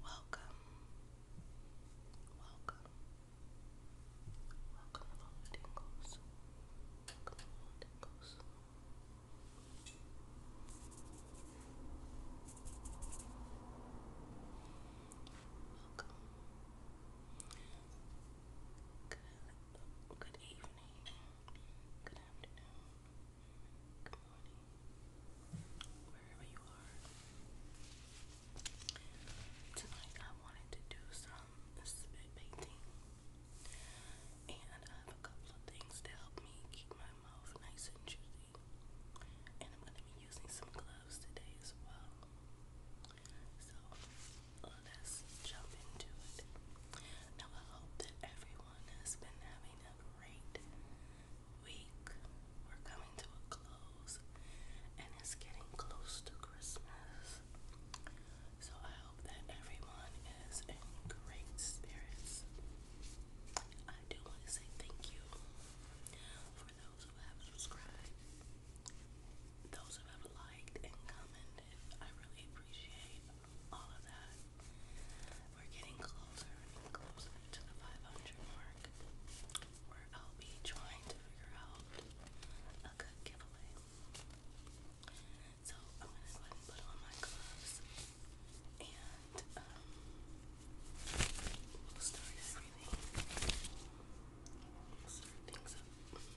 Welcome, welcome, welcome along the tingles, welcome along the tingles. Welcome. Good, good evening, good afternoon, Good morning. Wherever you are. Tonight I wanted to do some spit painting. And I have a couple of things to help me keep my mouth nice and juicy. And I'm gonna be using some gloves today as well. So let's jump into it. Now I hope that everyone has been having a great week. We're coming to a close and it's getting close to Christmas. So I hope that everyone is in great spirits. I do want to say thank you for those who have subscribed, those who have liked and commented. I really appreciate all of that. We're getting closer and closer to the 500 mark where I'll be trying to figure out a good giveaway. So I'm going to go ahead and put on my gloves and um, we'll start everything. We'll start things up. Okay.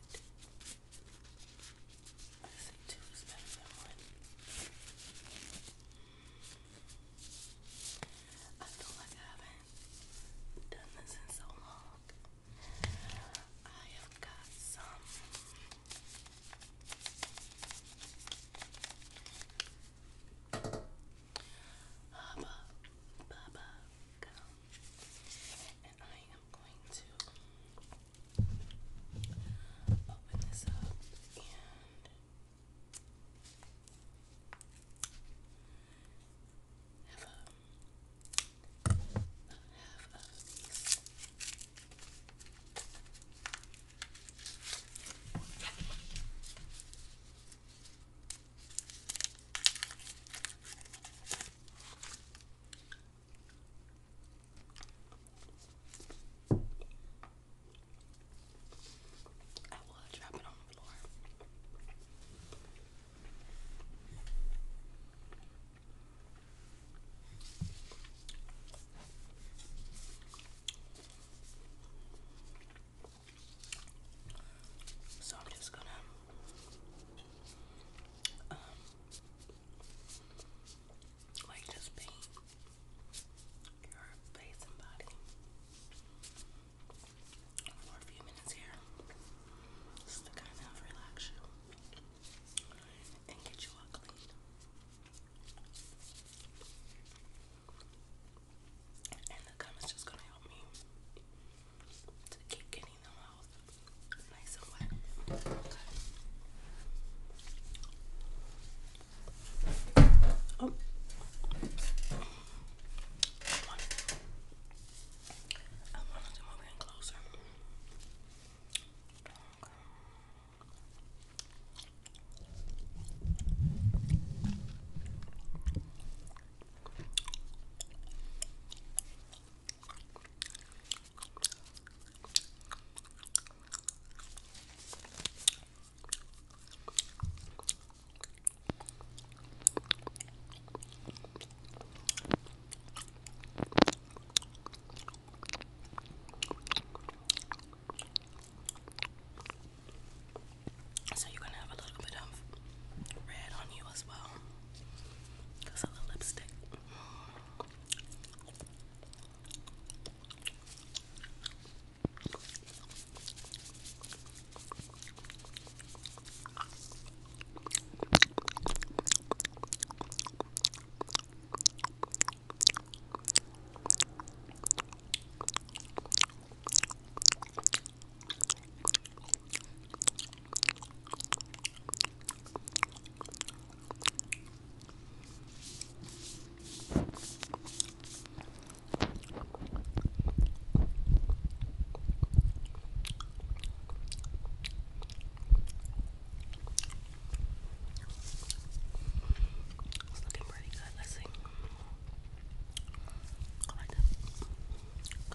but I feel like I haven't done this in so long. I have got some Hubba Bubba gum. And I am going to open this up and have a have a I will drop on the floor. So I'm just gonna um, like just paint your face and body for a few minutes here just to kind relax you and get you all clean. And the gum is just gonna help me to keep getting them out nice and wet. Okay. Oh. I wanted to move in closer. So, you're going to have a little bit of red on you as well. That's of the lipstick. It's looking pretty good. Let's see. I like this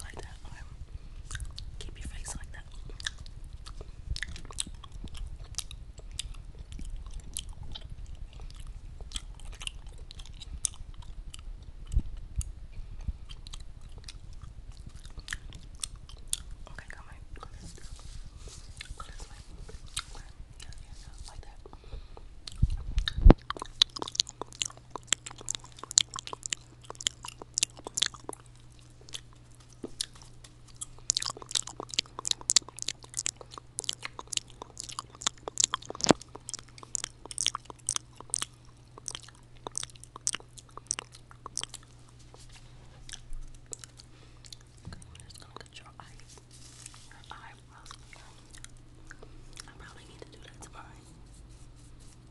like that, alright? Um, keep your face like that. Okay, come on. Go this way. Go this way. Yeah, yeah, yeah. Like that we're just gonna get your eyes, your eyebrows. I probably need to do that tomorrow.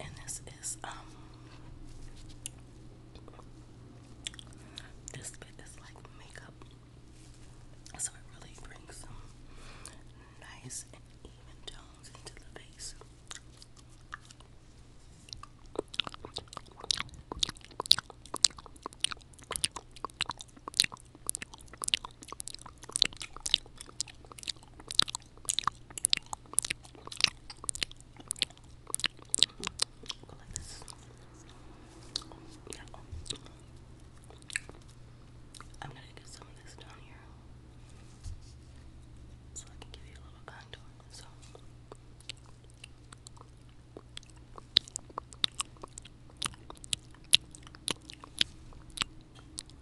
And this is um this bit is like makeup. So it really brings some nice and even tones into the face. Go Yeah. I'm gonna get some of this down here so I can give you a little contour. So.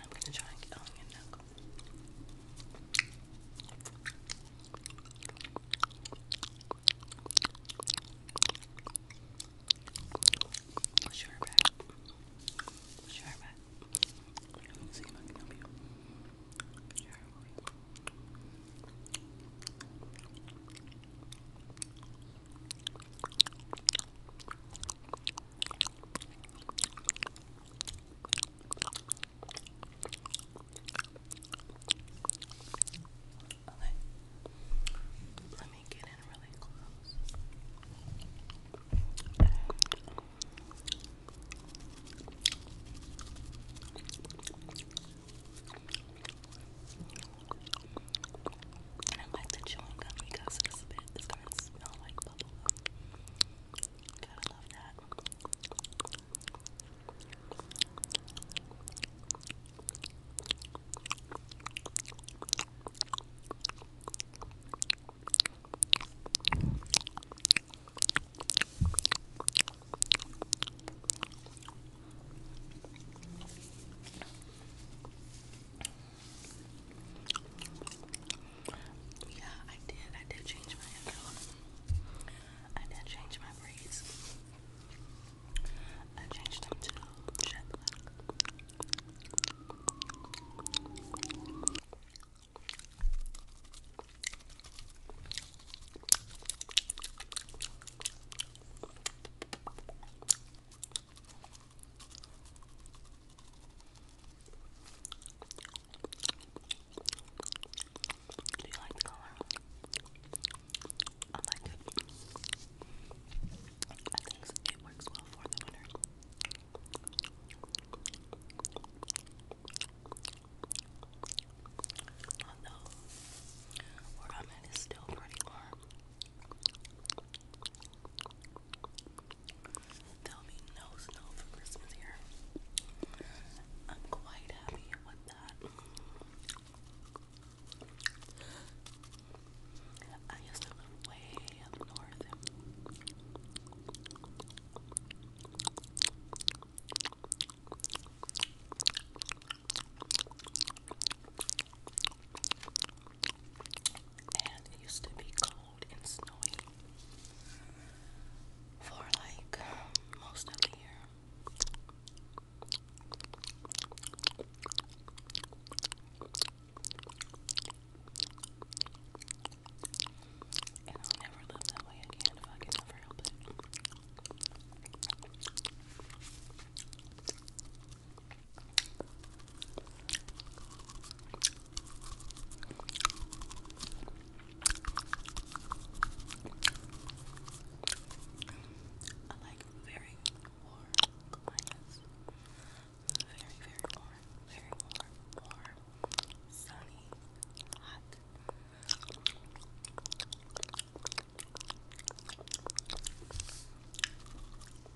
I'm gonna try and get on your neck. Sure, back. Sure, back. Let's see if I can help you. Sure, back. Okay. Let me get in really close. Okay. Okay. And I like the chewing gum because it's a bit, it's gonna smell like bubble gum. got love that. Yeah, I did. I did change my hair color. I did change my braids. I changed them to jet black. Do you like the color? I like it. I think it works well for the winter. Although where I'm at is still pretty warm. There'll be no snow for Christmas here. I'm quite happy with that. I used to live way up north and it used to be cold and snowy for like most of the year. And I'll never live that way again I can ever help it. I like very warm climates. Very, very warm, very warm, warm, sunny, hot.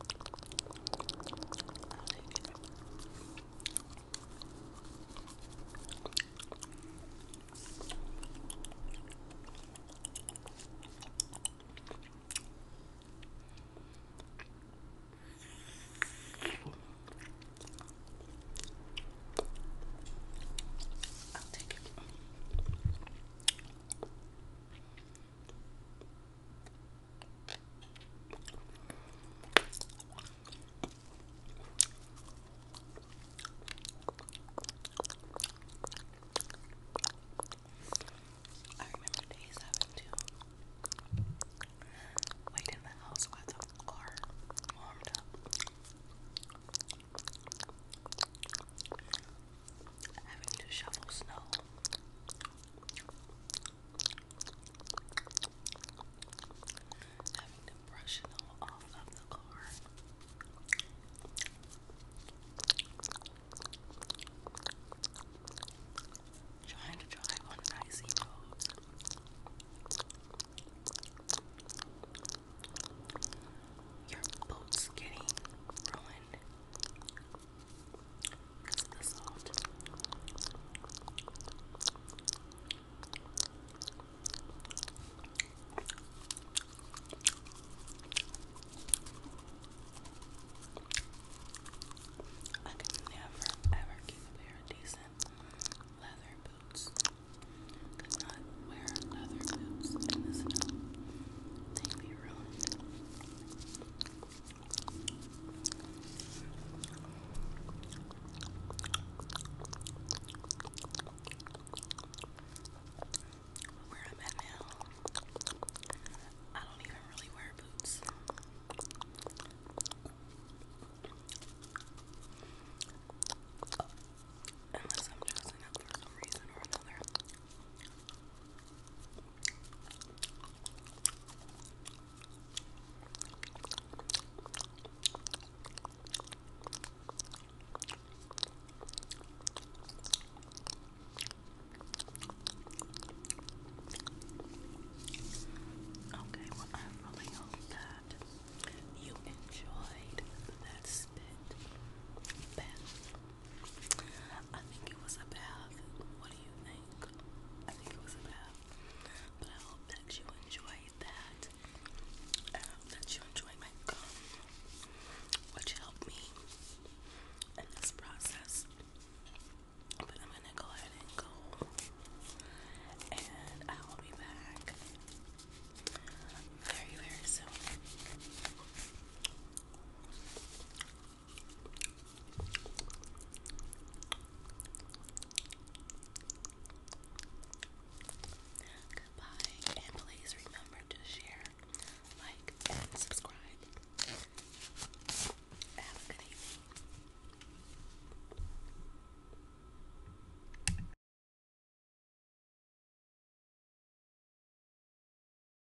I'll take it. I remember days having to wait in the house with the car warmed up having to shovel snow. Having to brush it off of the car. Trying to drive on icy road. Your boots getting ruined because of the I could never ever keep a pair of decent leather boots. Could wear leather boots in the snow. they ruined. Where I'm at now, I don't even really wear boots. Unless I'm dressing up for some reason or another. Okay, well, I really hope that you enjoyed that spit bath I think it was a bath. What do you think? I think it was a bath. But I hope that you enjoyed that. I hope that you enjoyed my gum, which helped me in this process. But I'm gonna go ahead and go, and I will be back very, very soon. Goodbye, and please remember to share, like, and subscribe. Have a good evening.